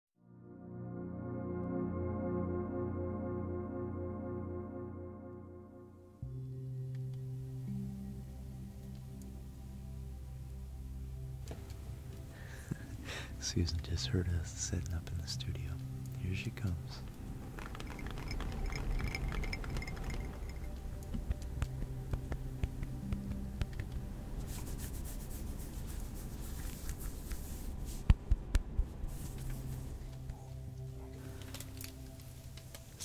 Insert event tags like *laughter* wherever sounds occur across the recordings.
*laughs* Susan just heard us setting up in the studio. Here she comes.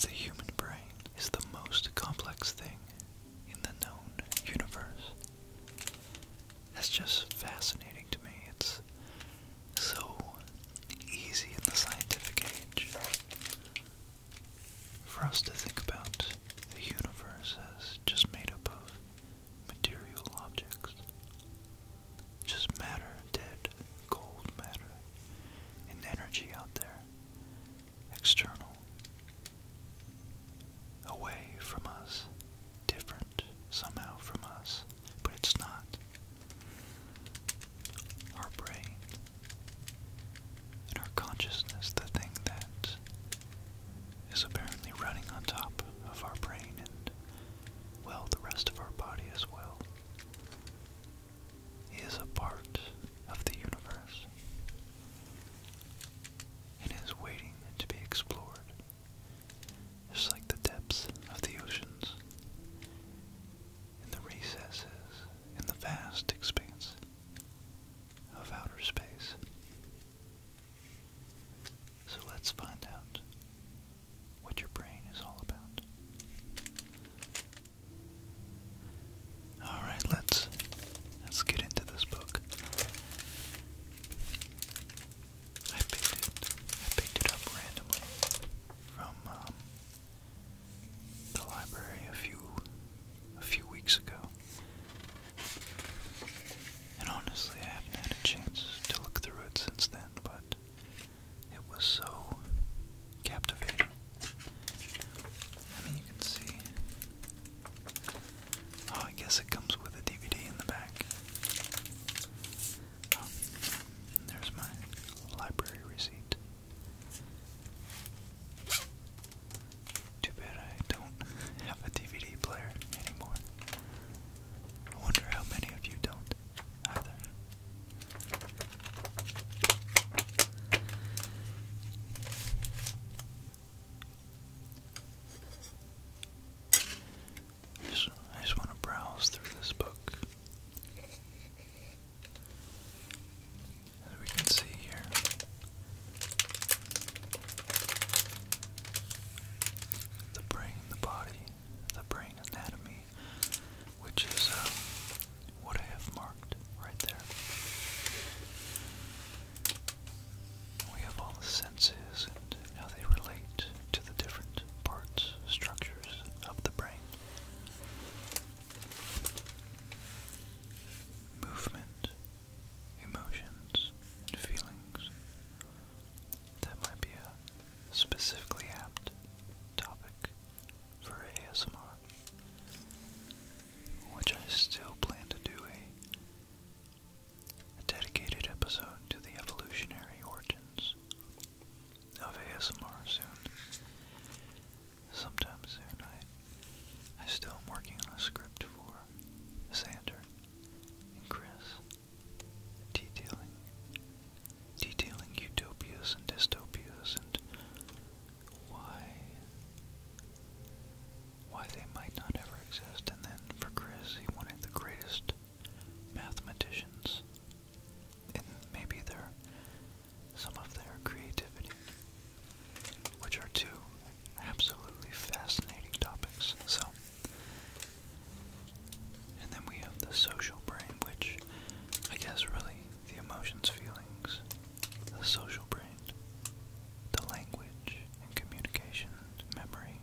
The human brain is the most complex thing in the known universe. That's just fascinating to me. It's so easy in the scientific age for us to think about the universe as just made up of material objects. Just matter, dead, cold matter, and energy out there, external, away from us, different somehow from us, but it's not. Our brain and our consciousness, the thing that is apparently running on top of our brain and, well, the rest of our body as well. is a part of the universe and is waiting to be explored, just like the depths of the oceans in the recesses in the vast expanse of outer space. So let's find out what your brain is all about. Alright, let's let's get into this book. I picked it I picked it up randomly from um, the library a few a few weeks ago. And honestly, I haven't had a chance to look through it since then, but it was so captivating. I mean, you can see. Oh, I guess it comes with a DVD in the back. Oh, there's my library receipt. Too bad I don't *laughs* have a DVD player anymore. I wonder how many of you don't either. I just, want to browse through this book. we can see here, the brain, the body, the brain anatomy, which is uh, what I have marked right there. We have all the senses and how they relate to the different parts, structures of the brain. Movement, emotions, feelings that might be a specifically apt topic for ASMR, which I still plan to do a, dedicated episode to the evolutionary origins of ASMR soon. Sometime soon, I, I still am working on a script for Xander and Chris detailing detailing utopias and dystopias and why why they might not ever exist. And then for Chris, he wanted the greatest mathematicians, and maybe their some of their creativity, which are two absolutely fascinating topics. So, and then we have the social brain, which I guess really the emotions, feelings, the social brain, the language and communication, memory,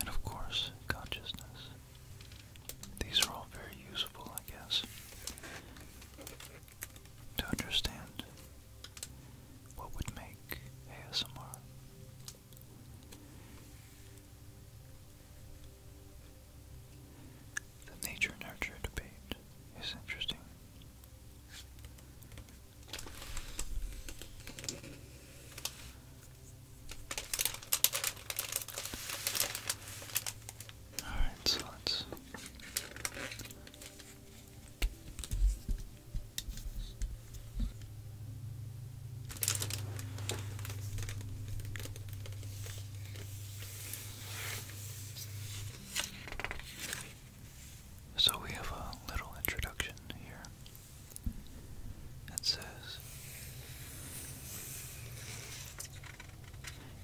and of course, consciousness. These are all very useful, I guess, to understand what would make ASMR? The nature nurture debate is interesting. Alright, so let's so we have a little introduction here that says,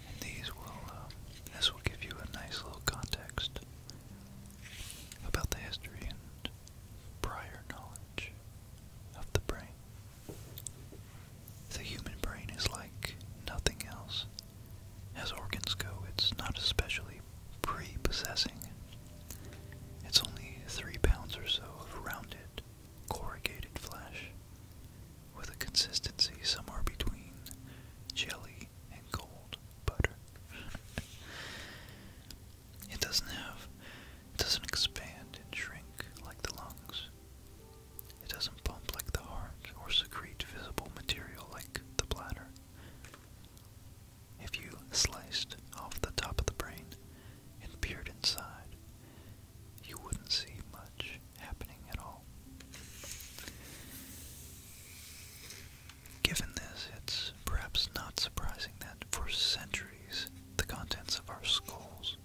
and these will, uh, this will give you a nice little context about the history and prior knowledge of the brain. The human brain is like nothing else. As organs go, it's not especially prepossessing. It's only three pounds or so of rounded, corrugated flesh, with a consistency somewhere between jelly and cold butter. *laughs* It doesn't have, it doesn't expand and shrink like the lungs. It doesn't pump like the heart or secrete visible material like the bladder. If you sliced off the top of the brain and peered inside, you wouldn't see much happening at all. Given this, it's perhaps not surprising that for centuries the contents of our skulls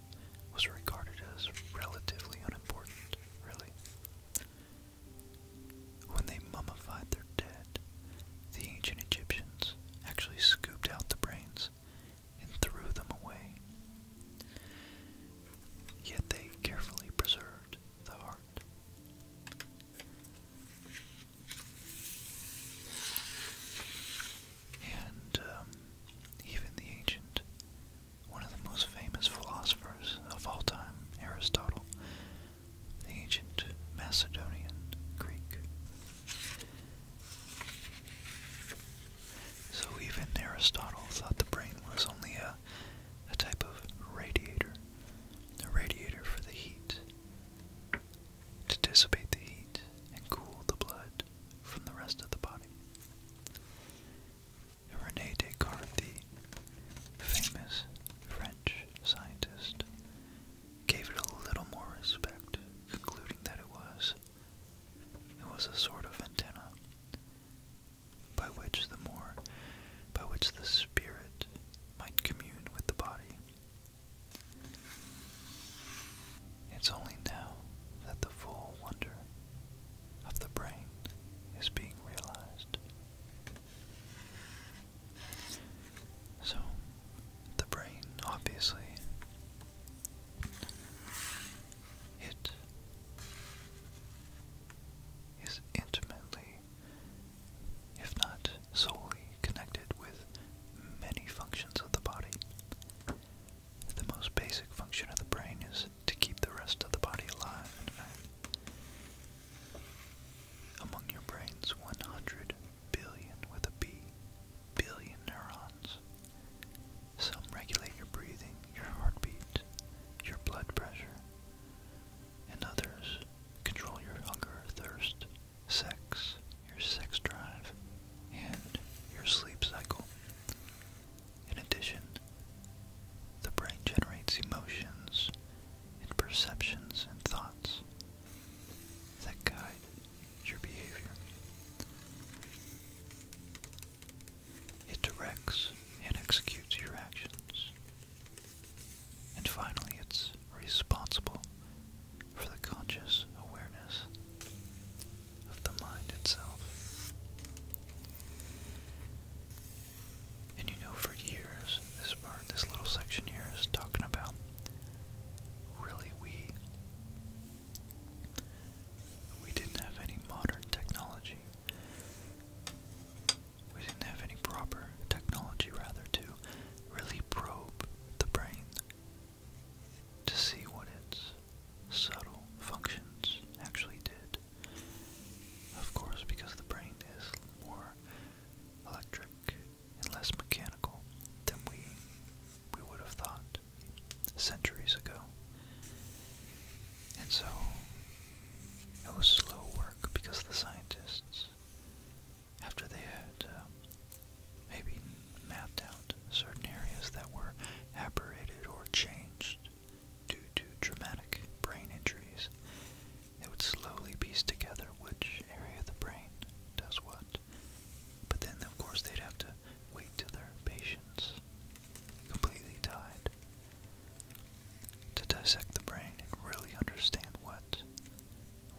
was regarded as relatively unimportant, really. When they mummified their dead, the ancient Egyptians actually scooped out the brains and threw them away. Yet they carefully preserved the heart. And um, even the ancient, one of the most famous philosophers of all time, Aristotle, the ancient Macedonian Greek. So even Aristotle thought the brain was only a, a type of radiator, a radiator for the heat to dissipate the heat and cool the blood from the rest of the body. Rene Descartes, the famous French scientist, gave it a little more respect, concluding that it was it was a sort of antenna by which the more by which the spirit might commune with the body it's only now that the full wonder of the brain is being realized. So, the brain obviously it is intimately if not solely, connected with many functions of the body. The most basic function of the brain is to keep the rest of the body alive Among your brain's 100 billion, with a B, billion neurons, some regulate your breathing, your heartbeat, your blood pressure, and others control your hunger, thirst, sex, your sex drive, and your sleep cycle. In addition, the brain generates emotions and perceptions and thoughts that guide your behavior. It directs and executes your actions and finally, it's responsible for the conscious awareness of the mind itself. And you know, for years, this part, this little section here is talking about really we. We didn't have any modern technology we didn't have any proper technology, rather, to really probe the brain to see what its subtle functions actually did. Of course, because the brain is more electric and less mechanical than we we would have thought centuries ago. And so it was slow work because the scientists after they had uh, maybe mapped out certain areas that were aberrated or changed due to traumatic brain injuries, they would slowly piece together which area of the brain does what. But then, of course, they'd have to wait till their patients completely died to dissect the brain and really understand what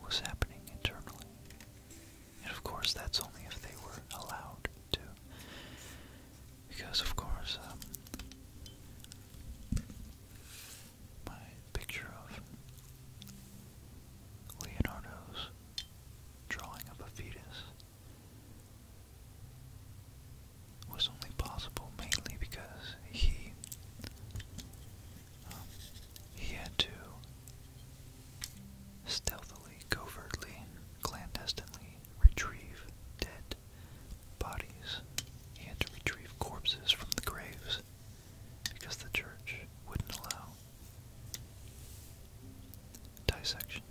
was happening internally. And of course, that's only if they were allowed to. Because, of course, um, my picture of Leonardo's drawing of a fetus was only possible mainly because he um, he had to stealthily, covertly, clandestinely retrieve dead bodies. He had to retrieve corpses from the graves because the church wouldn't allow dissection.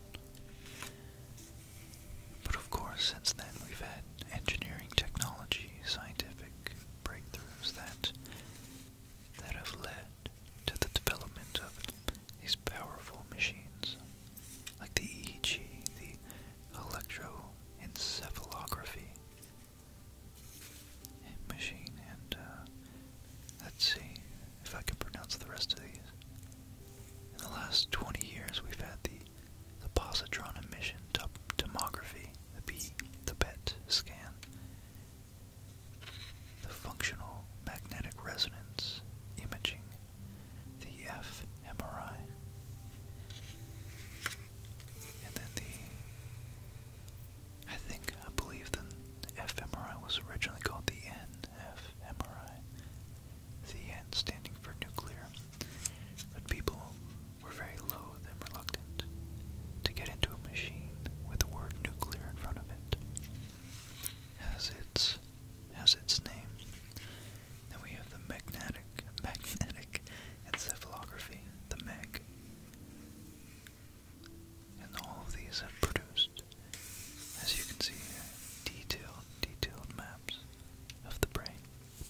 But of course, since then, we've had engineering technology, scientific breakthroughs that that have led to the development of these powerful machines like the EEG, the electroencephalography machine, and uh, let's see if I can pronounce the rest of these. In the last 20 years, we've had the, positron emission tomography, be the PET scan. The functional magnetic resonance imaging, the fMRI, and then the, I think, I believe the, fMRI was originally called the n NFMRI, the N standing for nuclear, but people were very loath and reluctant to get into a machine with the word nuclear in front of it as its as its name. Then we have the magnetic magnetic encephalography, the MEG. And all of these have produced, as you can see detailed, detailed maps of the brain.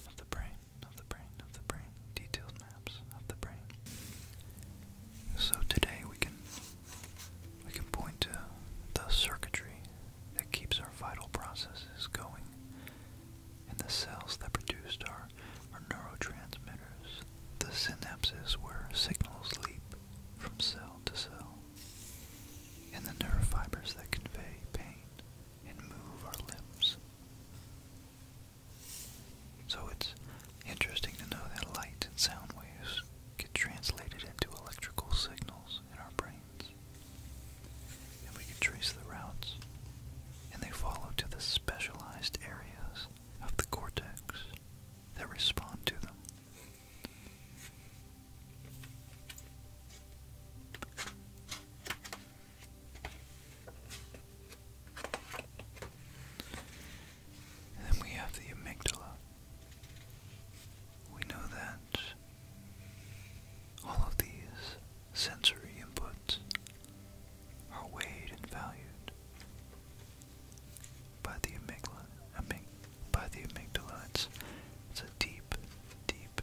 Of the brain of the brain, of the brain, detailed maps of the brain. So today we can we can point to the circuitry that keeps our vital processes going and the cells that produce our, our neurotransmitters, the synapses where signals leap from cell to cell, and the nerve fibers that convey pain and move our limbs. So it's interesting to know that light and sound waves get translated into electrical signals in our brains. And we can trace the routes, and they follow to the specialized areas of the cortex that respond to them then we have the amygdala. We know that all of these sensory inputs are weighed and valued by the amygdala. Amyg by the amygdala, it's a deep, deep,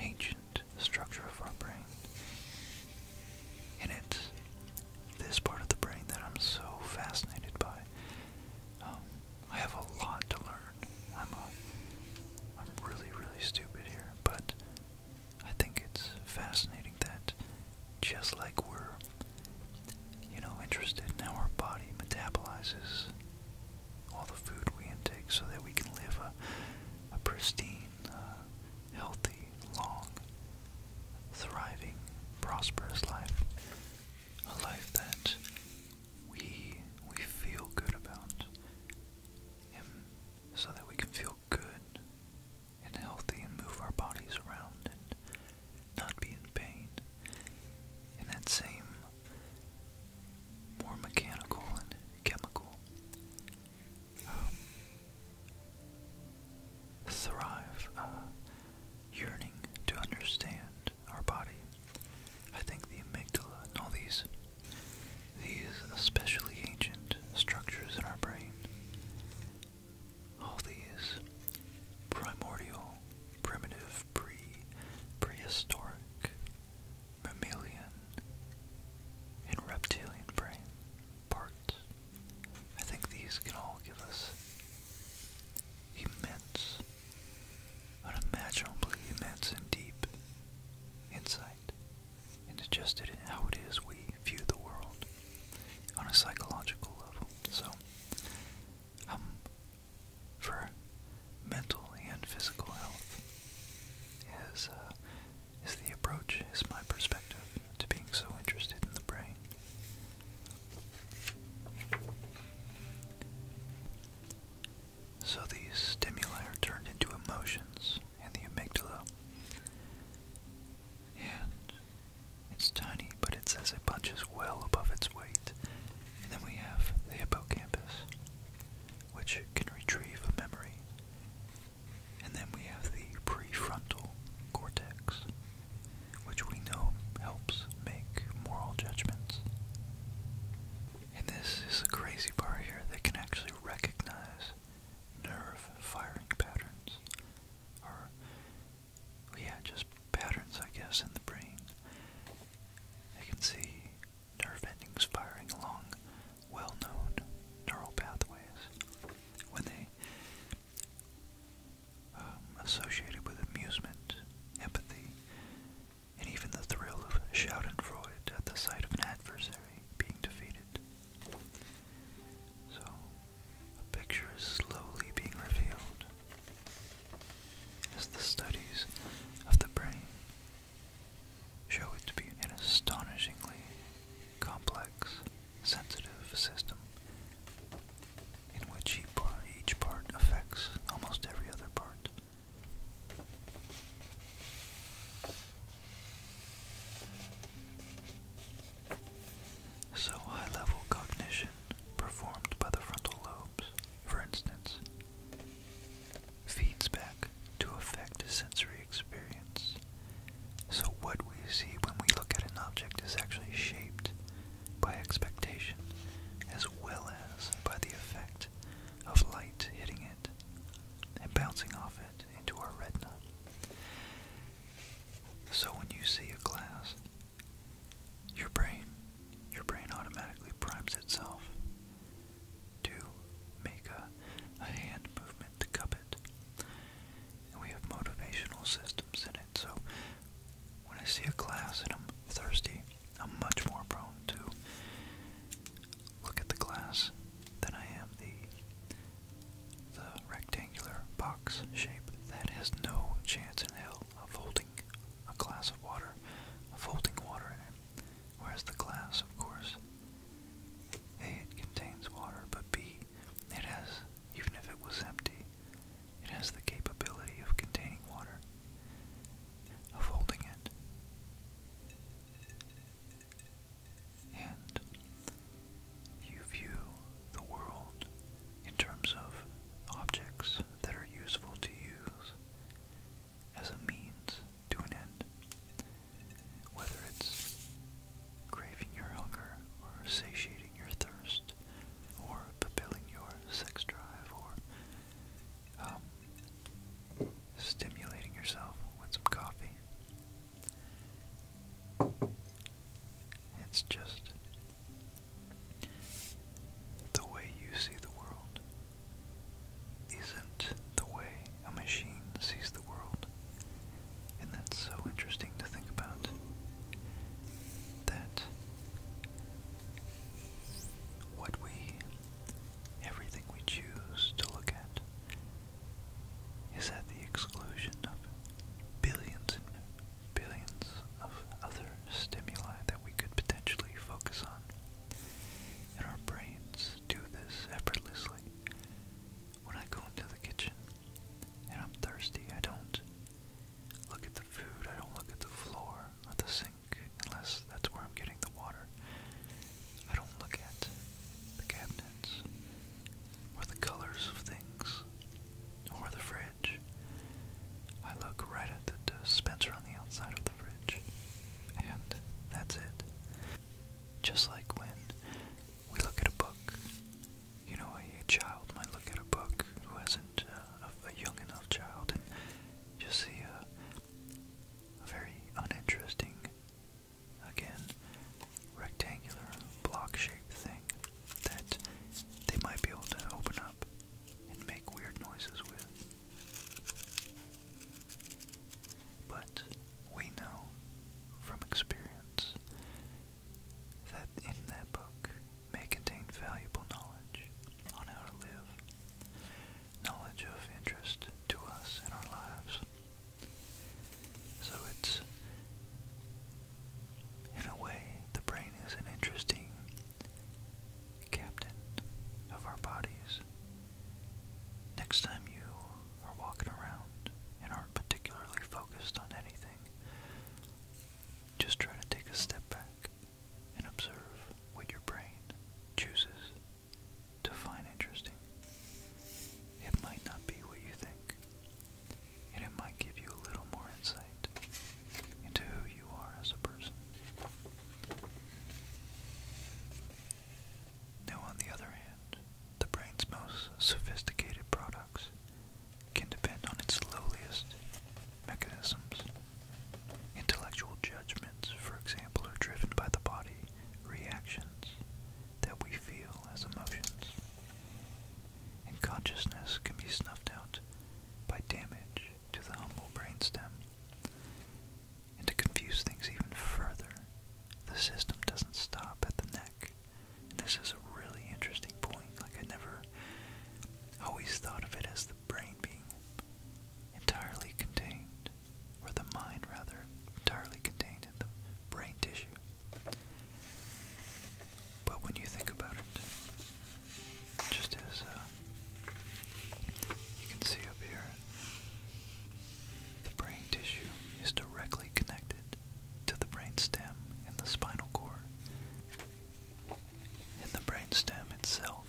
ancient structure of our brain. And it's this part of the brain that I'm so fascinated by. Um, I have a lot to learn. I'm a, I'm really, really stupid here, but I think it's fascinating that just like we're, you know, interested in how our body metabolizes all the food we intake so that we can live a, a pristine a uh, healthy, long, thriving, prosperous life. A life that we we feel good about. And so that we can feel good and healthy and move our bodies around and not be in pain. And that same more mechanical and chemical um, thrive, uh, yearning to understand our body. I think the amygdala and all these, these especially ancient structures in our brain, all these primordial, primitive, pre, prehistoric, mammalian, and reptilian brain parts. I think these can all give us immense, unimaginably immense and deep insight into just how it is we view the world on a psychological level. So, um, for mental and physical health is uh, is the approach, is my perspective to being so interested in the brain. So these stimuli are turned into emotions in the amygdala. And it's tiny, but it says it punches well above its weight. And then we have the hippocampus, which can retrieve a memory and then we have the prefrontal cortex, which we know helps make moral judgments. And this is the crazy part here they can actually recognize nerve firing patterns, or yeah, just patterns, I guess, in the brain. I can see nerve endings firing along well-known neural pathways when they um, associated with amusement, empathy, and even the thrill of schadenfreude at the sight of an adversary being defeated. So, a picture is slowly being revealed as the studies of the brain show it to be an astonishingly complex sensitive system in which each part affects almost every other part. So, high level cognition performed by the frontal lobes, for instance, feeds back to affect sensory experience. So, what we see when we look at an object is actually shaped by expectation as well as by the effect of light hitting it and bouncing off it into our retina. So, when you see a glass, your brain, your brain automatically primes itself to make a, hand movement to cup it we have motivational systems in it. So when I see a class and I'm thirsty, I'm much more prone to look at the glass than I am the the rectangular box shape that has no chance in hell of holding a glass of water, of holding water in it. Whereas the glass, of course, A, it contains water, but B, it has, even if it was empty, it has the capability of containing water, of holding it. And you view the world in terms of objects that are useful to use as a means to an end whether it's craving your hunger or satiating your thirst or fulfilling your sex drive or um, stimulating yourself with some coffee. It's just the way you see the world isn't the way a machine sees the world. And that's so interesting to think about. That what we, everything we choose to look at, is at the exclusion of billions and billions of other stimuli that we could potentially focus on. And our brains do this effortlessly when I go into the kitchen and I'm thirsty, I don't look at the food, I don't look at the floor or the sink, unless that's where I'm getting the water. I don't look at the cabinets or the colors of things or the fridge. I look right at the dispenser on the outside of the fridge, and that's it. Just like when we look at a book. You know, a, child might look at a book who not uh, a, young enough child and just see a, a very uninteresting, again, rectangular block-shaped thing that they might be able to open up and make weird noises with. But we know from experience that in that book may contain valuable knowledge on how to live, knowledge of interest to us in our lives. So it's, in a way, the brain is an interesting captain of our bodies. Next time you are walking around in our particularly focused on anything. Just try to take a step back and observe what your brain chooses to find interesting. It might not be what you think, and it might give you a little more insight into who you are as a person. Now, on the other hand, the brain's most sophisticated products can depend on its lowliest mechanisms. Intellectual judgments, for example, are driven by the body reactions that we feel as emotions. And consciousness can be snuffed out by damage to the humble brainstem. And to confuse things even further, the system doesn't stop at the neck this is a really interesting point. Like I never always thought of it as the brain being entirely contained, or the mind rather, entirely contained in the brain tissue. But when you think about it, just as uh, you can see up here, the brain tissue is directly connected to the brainstem and the spinal cord. And the brainstem itself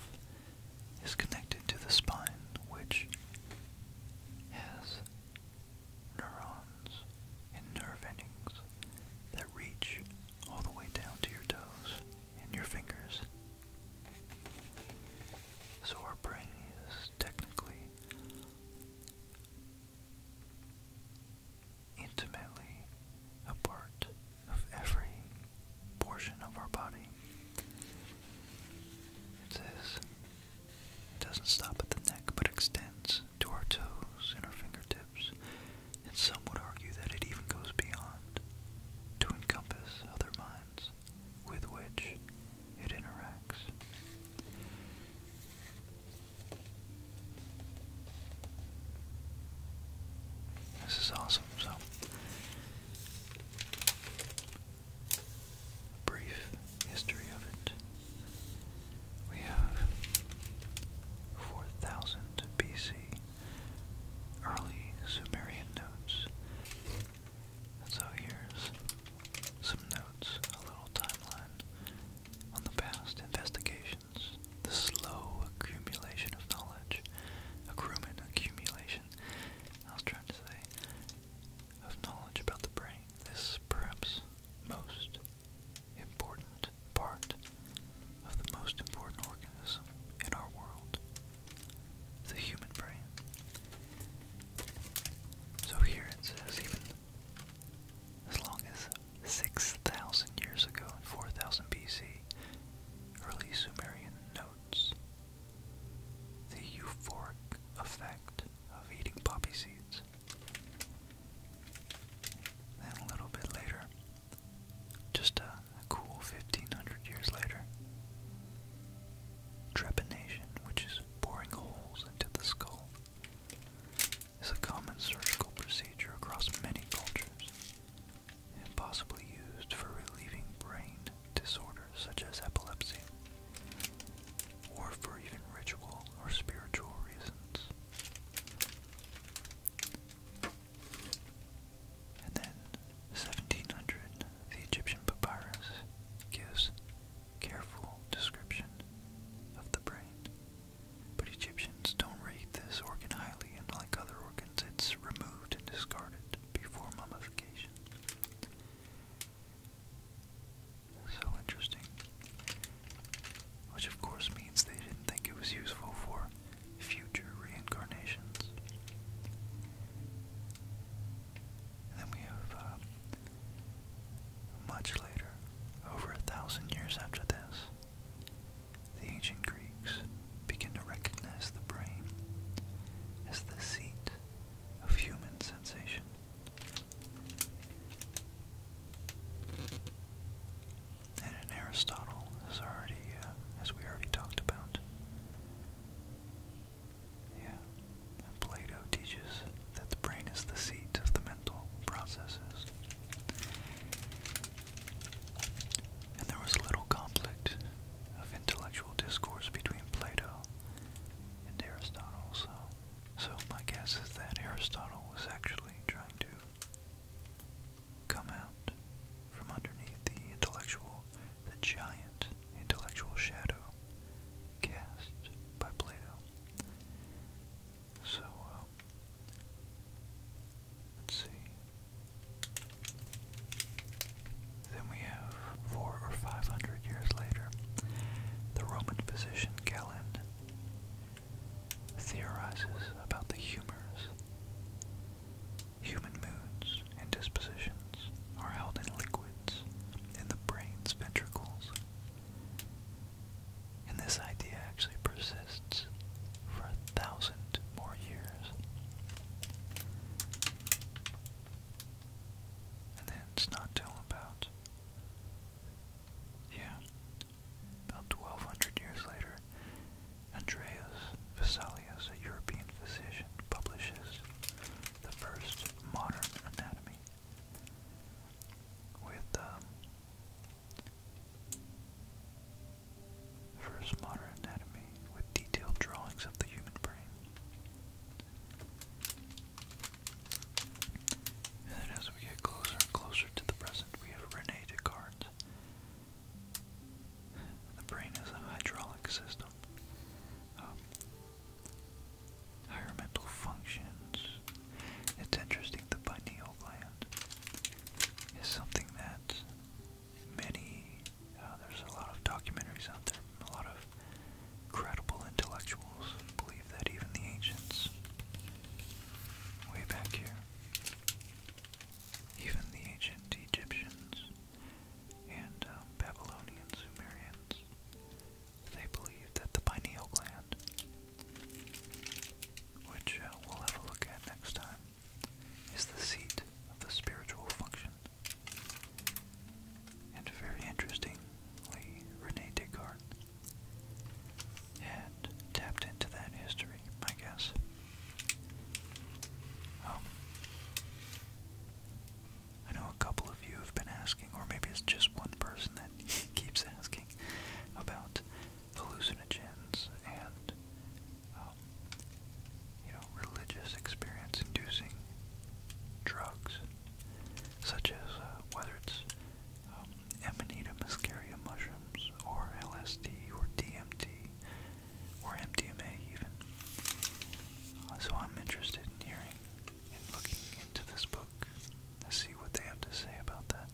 is connected to the spine, which has neurons and nerve endings that reach all the way down to your toes and your fingers. So our brain is technically intimately a of every portion of our body. It says it doesn't stop at the neck but extends to our toes and our fingertips, and some would argue that it even goes beyond to encompass other minds with which it interacts. This is awesome, so brief history of it. We have 4000 BC early Sumerian notes. So here's some notes, a little timeline on the past investigations, the slow accumulation of knowledge, accruement accumulation, I was trying to say, of knowledge about the brain, this perhaps most important part of the most important organism in our world, the human brain. So here it says even as long as 6,000 years ago in 4000 BC, early Sumerian notes the euphoric effect of eating poppy seeds. Then a little bit later, just a, a cool 1500 years later, trepanation, which is boring holes into the skull is a common surgical procedure across many cultures and possibly used for relieving brain disorders such as epilepsy or for even ritual or spiritual reasons. And then 1700, the Egyptian papyrus gives careful description of the brain. But Egyptians don't rate this organ highly, and like other organs, it's removed and discarded before mummification. So interesting. Which, of course, means they didn't think it was useful for future reincarnations. then we have uh, much later, over a thousand years after this, the ancient Greeks begin to recognize the brain as the seat of human sensation. And in Aristotle, as already uh, as we already talked about, yeah, Plato teaches that the brain is the seat of the mental processes. And there was little conflict of intellectual discourse between Plato and Aristotle, so, so my guess is that Aristotle was actually trying to come out from underneath the intellectual, the giant intellectual shadow cast by Plato. So, uh, let's see. Then we have four or five hundred years later, the Roman physician Galen theorizes about the humors. Human moods and dispositions are held in liquids in the brain's ventricles. And this idea actually persists for a thousand more years. And then it's not till about, yeah, about 1200 years later, Andreas Vesalius, a European physician, publishes the first modern anatomy with um, First Modern Anatomy with detailed drawings of the human brain. And then as we get closer and closer to the present, we have Rene Descartes. The brain is a hydraulic system. Um, higher mental functions. It's interesting, the pineal gland is something that many, uh, there's a lot of documentaries out there, a lot of credible intellectuals believe that even the ancients, way back here, even the ancient Egyptians and um, Babylonians, Sumerians, they believe that the pineal gland, which uh, we'll have a look at next time, is the seat of the spiritual function. And very interestingly, Rene Descartes had tapped into that history, I guess. Um, I know a couple of you have been asking, or maybe it's just one person that *laughs* keeps asking talking about hallucinogens and um, you know religious experience inducing drugs such as uh, whether it's um, mushrooms or LSD or DMT or MDMA even. Uh, so I'm interested in hearing in looking into this book to see what they have to say about that.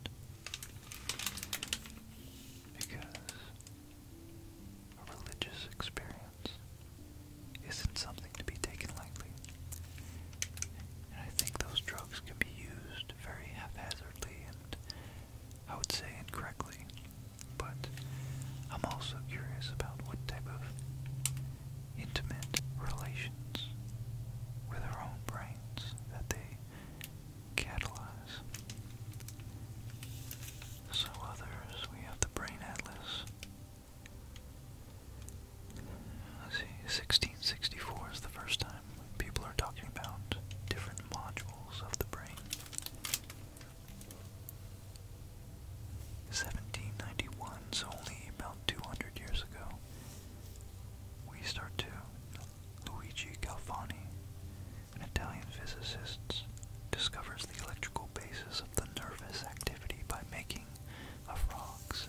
Because a religious experience isn't something to be taken lightly. And I think those drugs can be used very haphazardly and I would say incorrectly. But I'm also curious about what type of intimate relations with their own brains that they catalyze. So others, we have the Brain Atlas. let see, 1664 is the first time people are talking about different modules of the brain. 1791, is only about 200 years ago, we start to Luigi Galvani, an Italian physicist, discovers the electrical basis of the nervous activity by making of rocks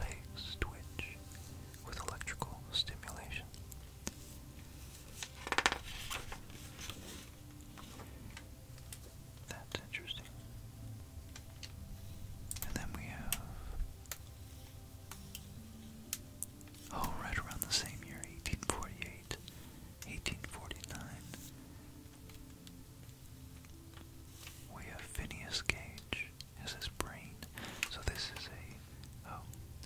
legs twitch with electrical stimulation. That's interesting. And then we have. Oh, right around the same year, 1848, We have Phineas Gage as his brain. So this is a, oh,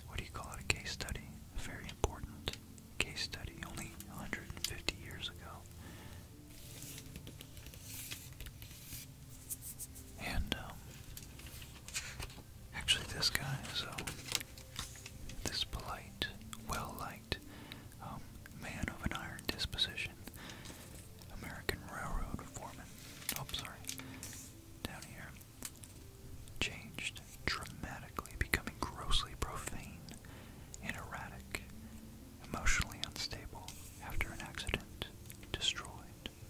what do you call it, a case study? very important case study, only 150 years ago. And, um, actually, this guy is uh, this polite, well liked um, man of an iron disposition, American Railroad foreman. Oh, sorry. Down here. Changed dramatically, becoming grossly profane and erratic, emotionally unstable after an accident, destroyed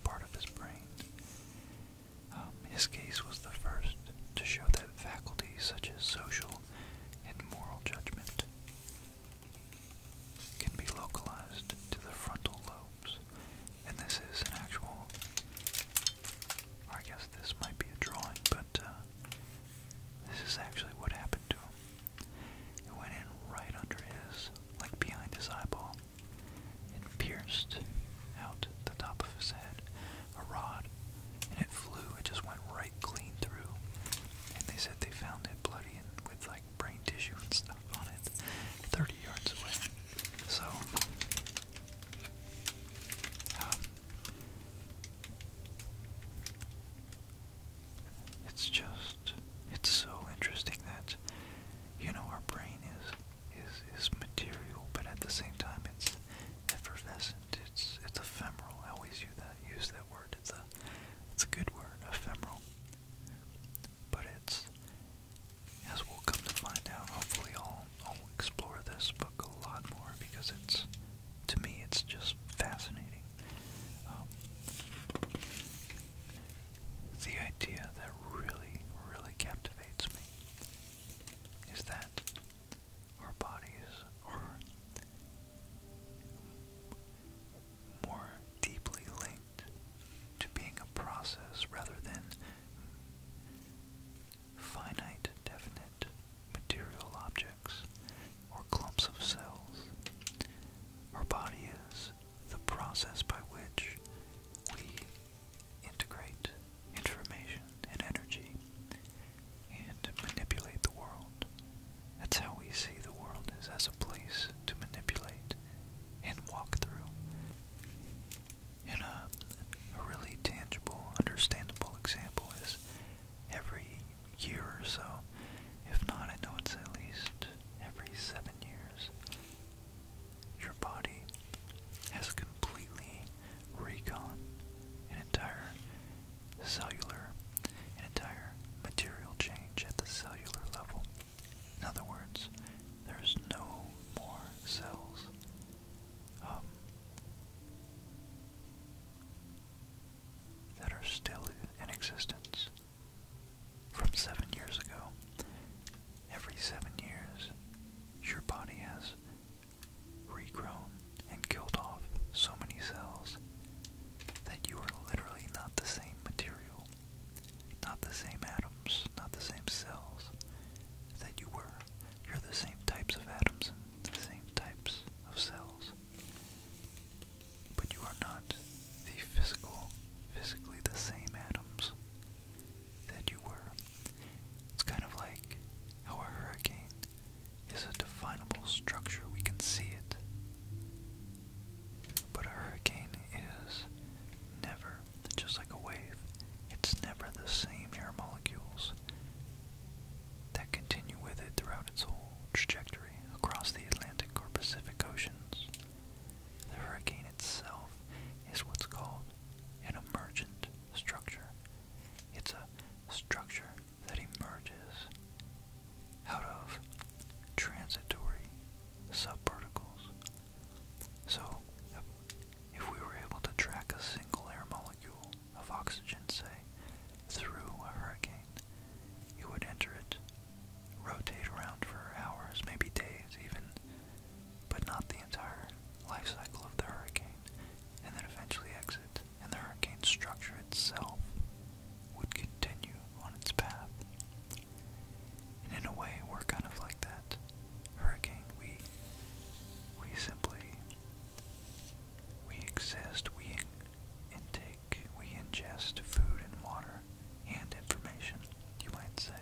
part of his brain. Um, his case was the first to show that faculties such as social and moral judgment can be localized to the frontal lobes. And this is an actual, I guess this might be a drawing, but uh, this is actually what happened to him. It went in right under his, like behind his eyeball, and pierced out the top of his head, a rod, and it flew. It just went right clean through. And they said they found it bloody and with like brain tissue and stuff on it, 30 yards away. So, um, it's just it's so interesting that you know our brain is is is material, but at the same time it's effervescent. It's it's ephemeral. I always use that use that word. It's a it's a good word, ephemeral. But it's as we'll come to find out. Hopefully, I'll I'll explore this book a lot more because it's to me it's just fascinating. Um, the idea that really, really captivates me is that our bodies are more deeply linked to being a process rather than finite, definite material objects or clumps of cells. Our body is the process by which we integrate information and energy and manipulate the world. That's how we see the world is as a place to manipulate and walk through. And a, a really tangible, understandable example is every year or so, if not, I know it's at least every seven years, your body has completely recon an entire cellular, an entire material change at the cellular level. In other words, there's no more cells. Um, that are still in existence from seven years ago. Every seven years, your body has regrown and killed off so many cells that you are literally not the same material, not the same atoms, not the same cells that you were. You're the same types of atoms and the same types of cells but you are not the physical, physically the same atoms that you were. It's kind of like how a hurricane is a definable structure, we can see it. But a hurricane is never, just like a wave, it's never the same air molecules that continue with it throughout its whole trajectory across the Atlantic or Pacific Oceans. The hurricane itself is what's called an emergent structure. It's a structure that emerges out of transitory subparticles. So, if we were able to track a single air molecule of oxygen, say, through a hurricane, you would enter it rotate around for hours, maybe days even, but not the entire life cycle of the hurricane, and then eventually exit, and the hurricane structure itself would continue on its path. And in a way, we're kind of like that hurricane. We, we simply, we exist, we intake, we ingest food and water and information, you might say.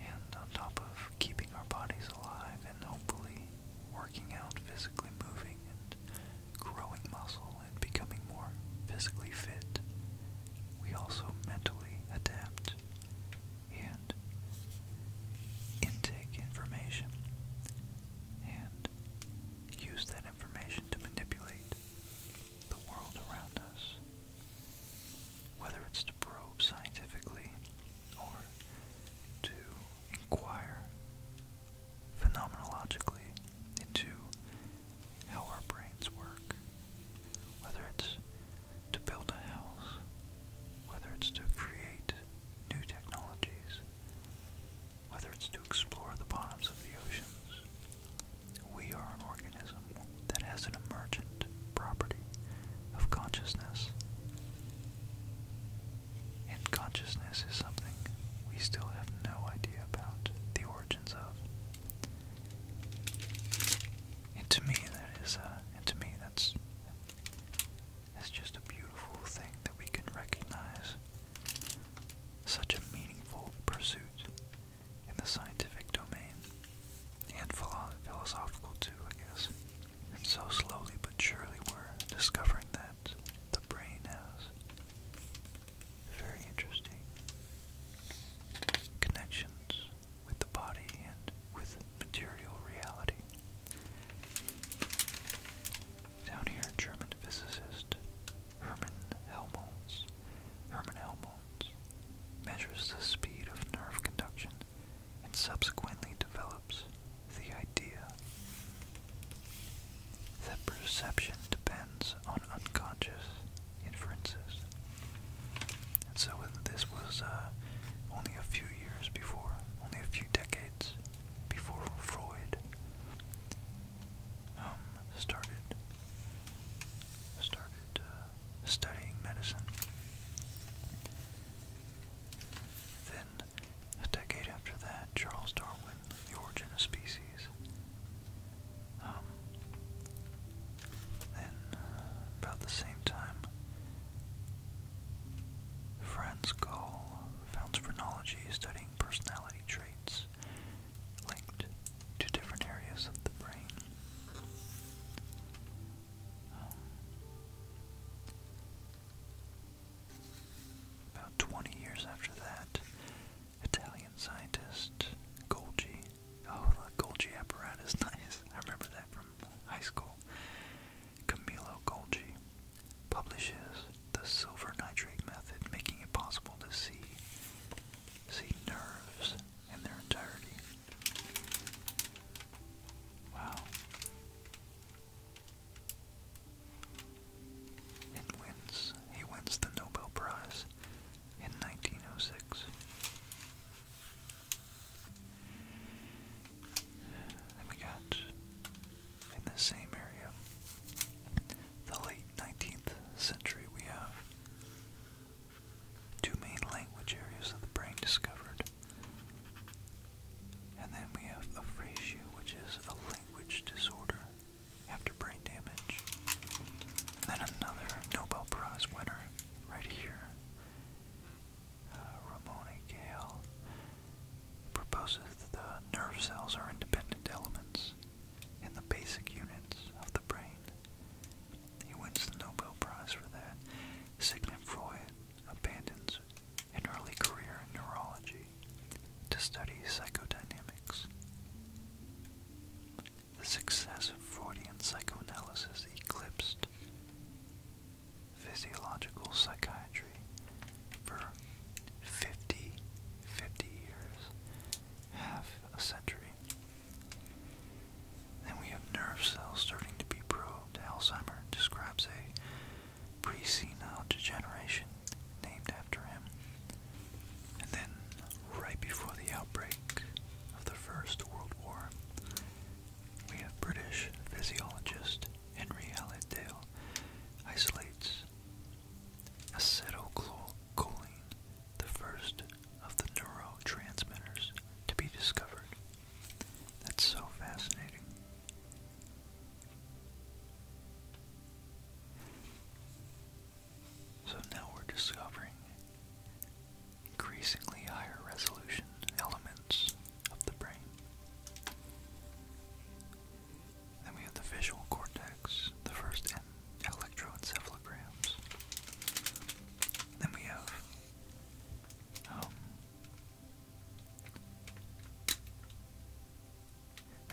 And on top of keeping our bodies alive and hopefully working out, physically moving and growing muscle and becoming more physically fit, we also mentally adapt and intake information and use that information to manipulate the world around us. Whether it's to probe scientifically or to inquire phenomenologically into how our brains work, whether it's to build a house, whether it's to create new technologies, whether it's to explore the bottoms of the oceans, we are an organism that has an emergent property of consciousness. And consciousness is something we still have no idea about the origins of. And to me, that is, uh, and to me, that's, that's just a beautiful thing that we can recognize such a meaningful pursuit in the scientific domain and philosophical too, I guess. And so slowly but surely we're discovering that the brain has very interesting connections with the body and with material reality. Down here, German physicist Herman Helmholtz, Herman Helmholtz measures the speed of nerve conduction and subsequently develops the idea that perception depends on unconscious inferences. And so this was uh, only a few years before, only a few decades before Freud. Um, started started uh, studying medicine. Then, a decade after that, Charles Darwin, The Origin of Species. Um, then, uh, about the same time, Franz Gall founds phrenology studying personality traits linked to different areas of the brain. Um, about 20 years after that, Italian scientist Golgi, oh the Golgi apparatus, *laughs* nice, I remember that from high school, Camillo Golgi publishes the silver nitrate method, making it possible to see See nerves in their entirety. Wow. It wins. He wins the Nobel Prize in 1906. Then we got, in the same area, the late 19th century, we have Two main language areas of the brain discovered. And then we have aphasia, which is a language disorder after brain damage. then another Nobel Prize winner right here, uh, Ramona Gale, proposes that the nerve cells are independent elements in the basic units of the brain. He wins the Nobel Prize for that. Sigmund Freud abandons an early career in neurology to study psychodynamics. The success of Freudian psychoanalysis eclipsed physiological psychiatry for 50, years half a century. Then we have nerve cells starting to be probed. Alzheimer describes a pre-senile degeneration named after him. And then, right before the outbreak of the First World War, we have British physiologist Henry Hallidale isolates acetylcholine the first of the neurotransmitters to be discovered. That's so fascinating. So now we're discovering increasingly higher resolution elements of the brain. Then we have the visual cortex the first electroencephalograms. Then we have um,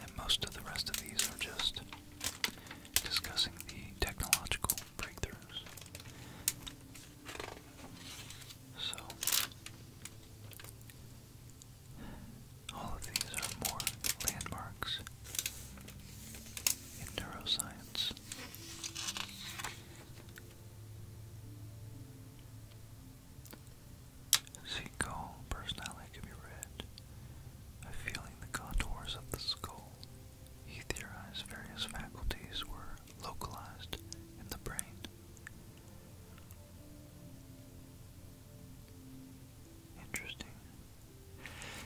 and most of the rest of these are just discussing the technological breakthroughs. So, all of these are more landmarks in neuroscience. Seagull personality can be read by feeling the contours of the skull. He various faculties were localized in the brain. Interesting.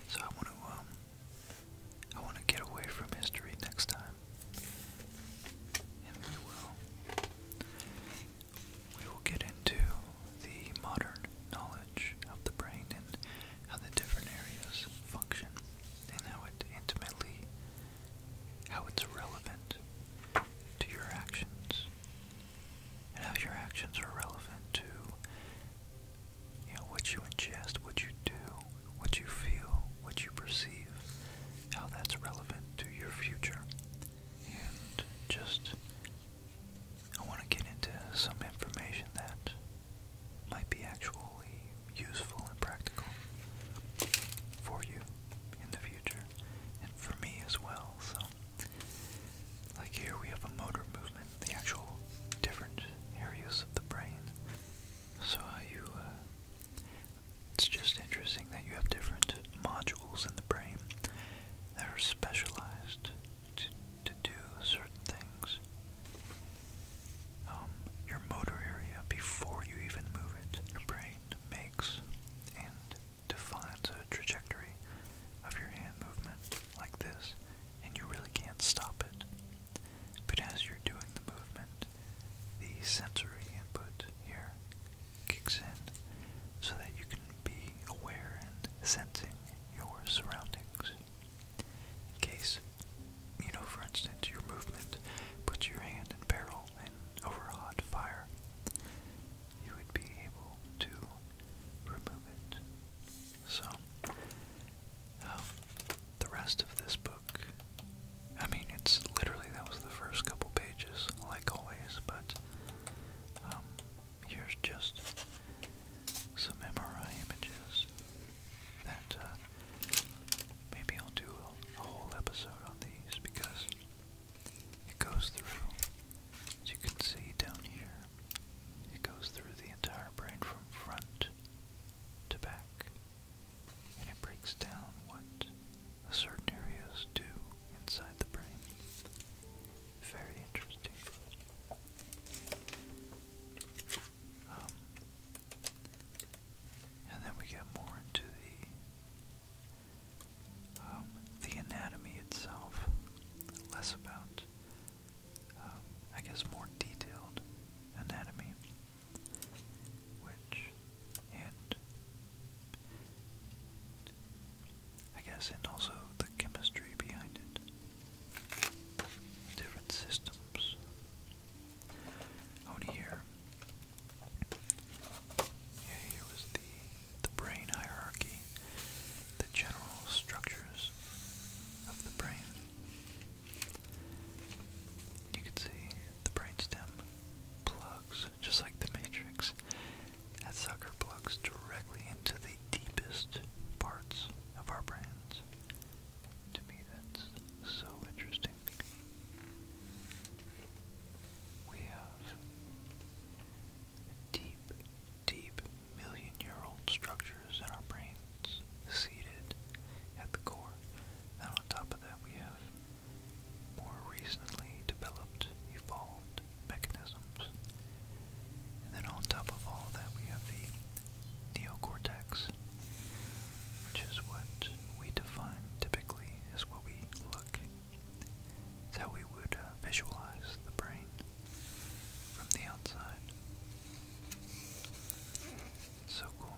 So I want to um, I want to get away from history next time. And we will we will get into the modern knowledge of the brain and how the different areas function and how it intimately how it's relevant to your actions and how your actions are relevant to you know, what you ingest, what you do, what you feel, what you perceive, how that's relevant to your future. And just, I want to get into some information that might be actually useful and practical for you in the future, and for me as well. So, like here we have a motor movement, the actual different areas of the brain. So uh, you, uh, it's just interesting that you have different modules in the brain that are specialized to, do certain things. Um, your motor area, before you even move it, your brain makes and defines a trajectory of your hand movement like this and you really can't stop it. But as you're doing the movement, the sensory input here kicks in so that you can be aware and sensing your surroundings. In case, you know, for instance, your movement puts your hand in peril and over hot fire, you would be able to remove it. So, um, the rest of this book, I mean, it's literally that was the first couple pages, like always, but um, here's just some MRI images that uh, maybe I'll do a whole episode on these because it goes through, as you can see down here. It goes through the entire brain from front to back, and it breaks down what certain areas do inside the brain. Very interesting. Um, and then we get more into the um, the anatomy itself, less about um, I guess, more detailed anatomy, which, and I guess, and also the chemistry behind it, different systems. Out here, yeah, here was the the brain hierarchy, the general structures of the brain. You can see the brainstem plugs, just like the matrix. That sucker plugs directly into the deepest parts of our brains. To me, that's so interesting. We have deep deep million-year-old structures in our brains seated at the core. And on top of that, we have more recently developed, evolved mechanisms. And then on top of all that, we have the neocortex, which is what we define typically is what we look. It's how we would uh, visualize the brain from the outside. So cool.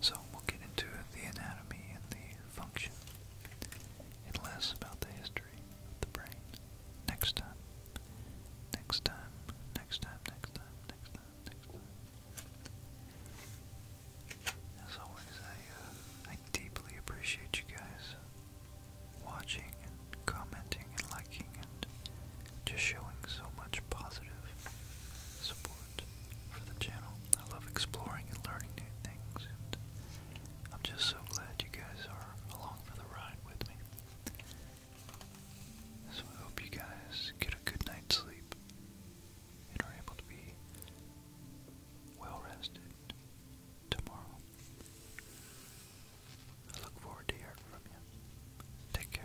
So we'll get into the anatomy and the function and less about the history of the brain next time. Next time, next time, next time, next time, next time. As always, I, uh, I deeply appreciate you guys watching and commenting and liking and just showing so much positive support for the channel. I love exploring and learning new things, and I'm just so glad you guys are along for the ride with me. So I hope you guys get a good night's sleep and are able to be well rested tomorrow. I look forward to hearing from you. Take care.